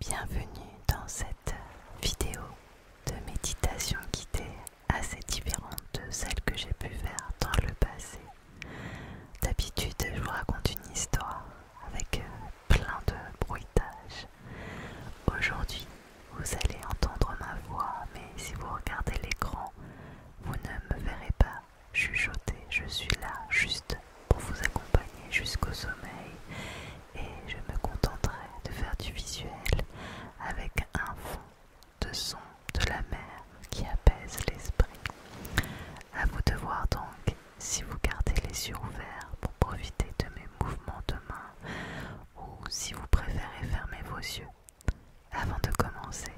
Bienvenue dans cette vidéo de méditation guidée assez différente de celle que j'ai pu faire dans le passé. D'habitude, je vous raconte une histoire avec euh, plein de bruitages. Aujourd'hui, vous allez entendre ma voix, mais si vous regardez l'écran, vous ne me verrez pas chuchoter. Je suis là juste pour vous accompagner jusqu'au sommeil et je me contenterai de faire du visuel avec un fond de son de la mer qui apaise l'esprit. À vous de voir donc si vous gardez les yeux ouverts pour profiter de mes mouvements de main ou si vous préférez fermer vos yeux. Avant de commencer,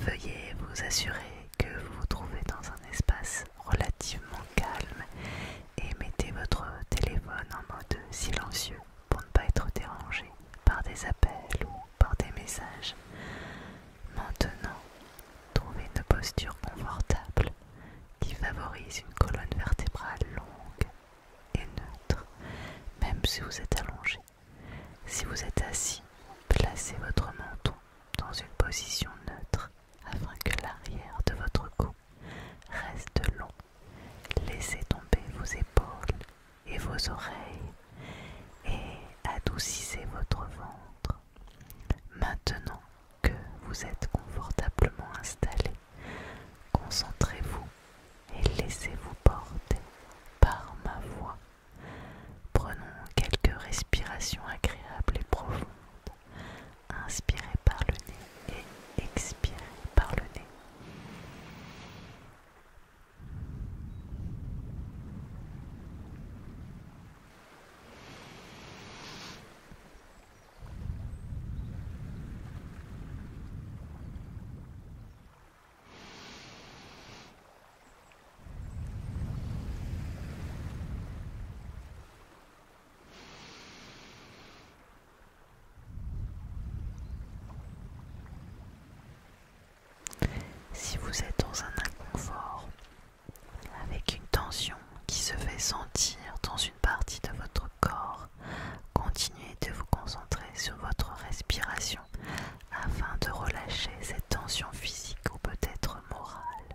veuillez vous assurer que vous vous trouvez dans un espace relativement calme et mettez votre téléphone en mode silencieux pour ne pas être dérangé par des appels ou par des messages. Maintenant, trouvez une posture confortable qui favorise une colonne vertébrale longue et neutre, même si vous êtes allongé. Si vous êtes assis, placez votre menton dans une position neutre afin que l'arrière de votre cou reste long. Laissez tomber vos épaules et vos oreilles et adoucissez votre ventre. Maintenant que vous êtes confortablement installé, concentrez-vous et laissez-vous porter par ma voix. Prenons quelques respirations agréables et profondes Inspirez par le nez et expirez par le nez. Si vous êtes dans un inconfort, avec une tension qui se fait sentir dans une partie de votre corps, continuez de vous concentrer sur votre respiration afin de relâcher cette tension physique ou peut-être morale.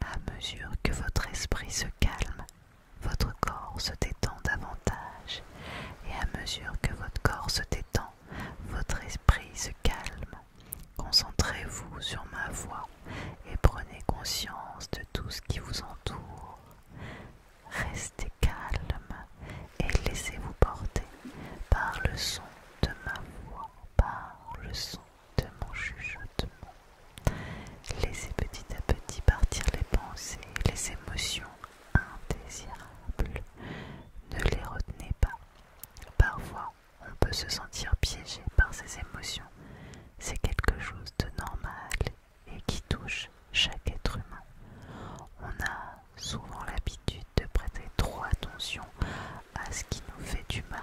À mesure que votre esprit se calme, votre corps se détend davantage. Et à mesure que votre corps se détend, votre esprit se calme. Concentrez-vous sur ma voix et prenez conscience de tout ce qui vous entoure. Restez calme et laissez-vous porter par le son de ma voix, par le son de mon chuchotement. Laissez petit à petit partir les pensées, les émotions indésirables. Ne les retenez pas. Parfois, on peut se sentir piégé par ces émotions. C'est quelque chose de normal et qui touche chaque être humain. On a souvent l'habitude de prêter trop attention à ce qui nous fait du mal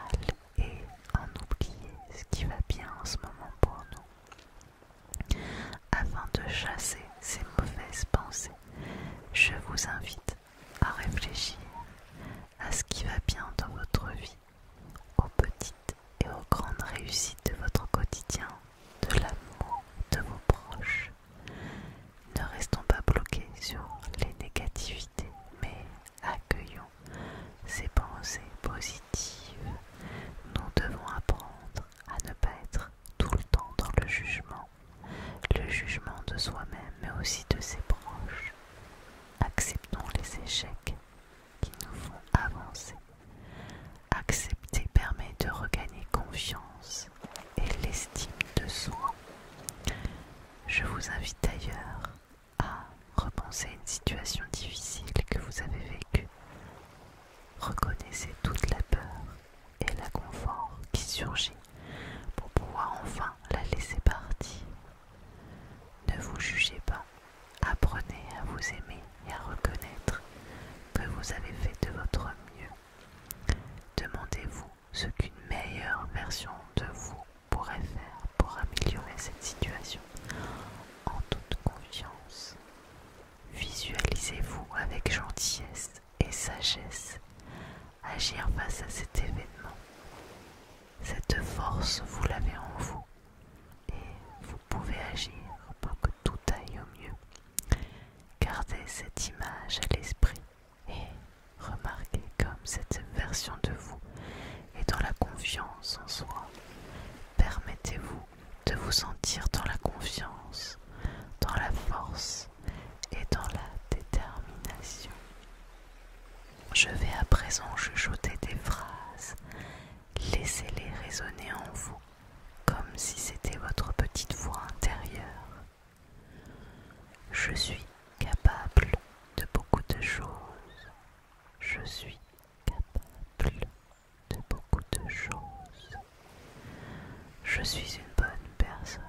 et en oublier ce qui va bien en ce moment pour nous. Afin de chasser ces mauvaises pensées, je vous invite à réfléchir à ce qui va bien dans votre vie, aux petites et aux grandes réussites de votre quotidien, de l'amour de vos proches. Ne restons pas bloqués sur les négativités, mais accueillons ces pensées positives, nous devons apprendre à ne pas être tout le temps dans le jugement, le jugement de soi-même mais aussi de ses proches. Acceptons les échecs qui nous font avancer. Accepter permet de regagner confiance et l'estime de soi. Je vous invite d'ailleurs à repenser à une situation difficile que vous avez vécue. Reconnaissez toute la peur et l'inconfort qui surgit pour pouvoir enfin la laisser partir. Ne vous jugez pas, apprenez à vous aimer et à reconnaître que vous avez fait de votre mieux. Demandez-vous ce qu'une meilleure version de vous pourrait faire pour améliorer cette situation en toute confiance. Visualisez-vous avec gentillesse et sagesse agir face à cet événement. Cette force, vous l'avez en vous et vous pouvez agir pour que tout aille au mieux. Gardez cette image à l'esprit et Remarquez comme cette version de vous est dans la confiance en soi. Permettez-vous de vous sentir dans la confiance, dans la force et dans la détermination. Je vais à présent chuchoter des phrases. Laissez-les résonner en vous comme si c'était votre petite voix intérieure. Je suis capable de beaucoup de choses. Je suis capable de beaucoup de choses. Je suis une bonne personne.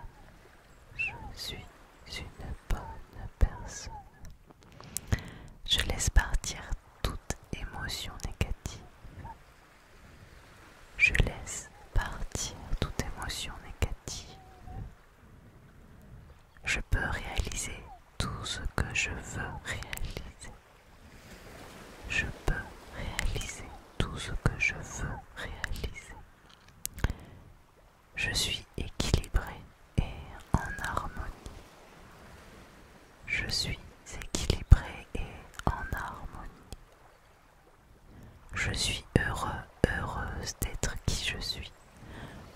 Je suis une bonne personne. Je laisse partir toute émotion négative. Je laisse partir toute émotion négative. Je peux réaliser tout ce que je veux réaliser. Je peux réaliser tout ce que je veux réaliser. Je suis équilibré et en harmonie. Je suis équilibré et en harmonie. Je suis heureux, heureuse d'être qui je suis.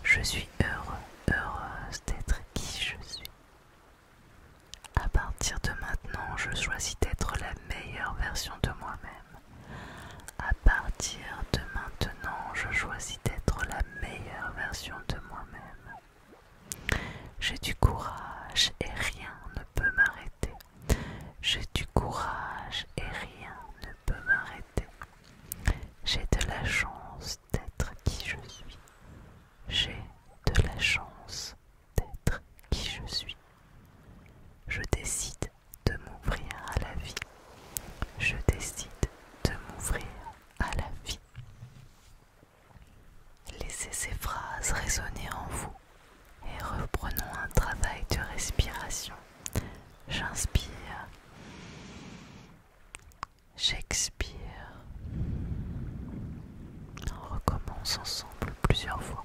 Je suis heureux, heureuse d'être qui je suis. À partir de maintenant, je choisis d'être la meilleure version de moi-même. À partir de maintenant, je choisis d'être la meilleure version de moi-même. J'ai du courage et rien ne peut m'arrêter. J'ai du courage et rien ne m'arrêter. J'ai de la chance d'être qui je suis. J'ai de la chance d'être qui je suis. Je décide de m'ouvrir à la vie. Je décide de m'ouvrir à la vie. Laissez ces phrases résonner en vous et reprenons un travail de respiration. J'inspire. J'expire. On recommence ensemble plusieurs fois.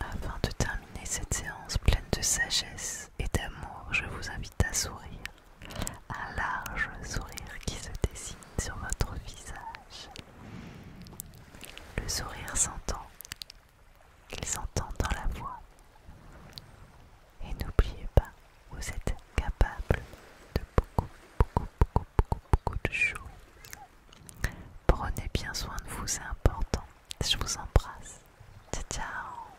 Afin de terminer cette séance pleine de sagesse et d'amour, je vous invite à sourire. Un large sourire qui se dessine sur votre visage. Le sourire s'entend, il s'entend dans la voix. Et n'oubliez pas, vous êtes capable de beaucoup, beaucoup, beaucoup, beaucoup, beaucoup de choses. Prenez bien soin de vous, c'est important. Je vous embrasse. Ciao,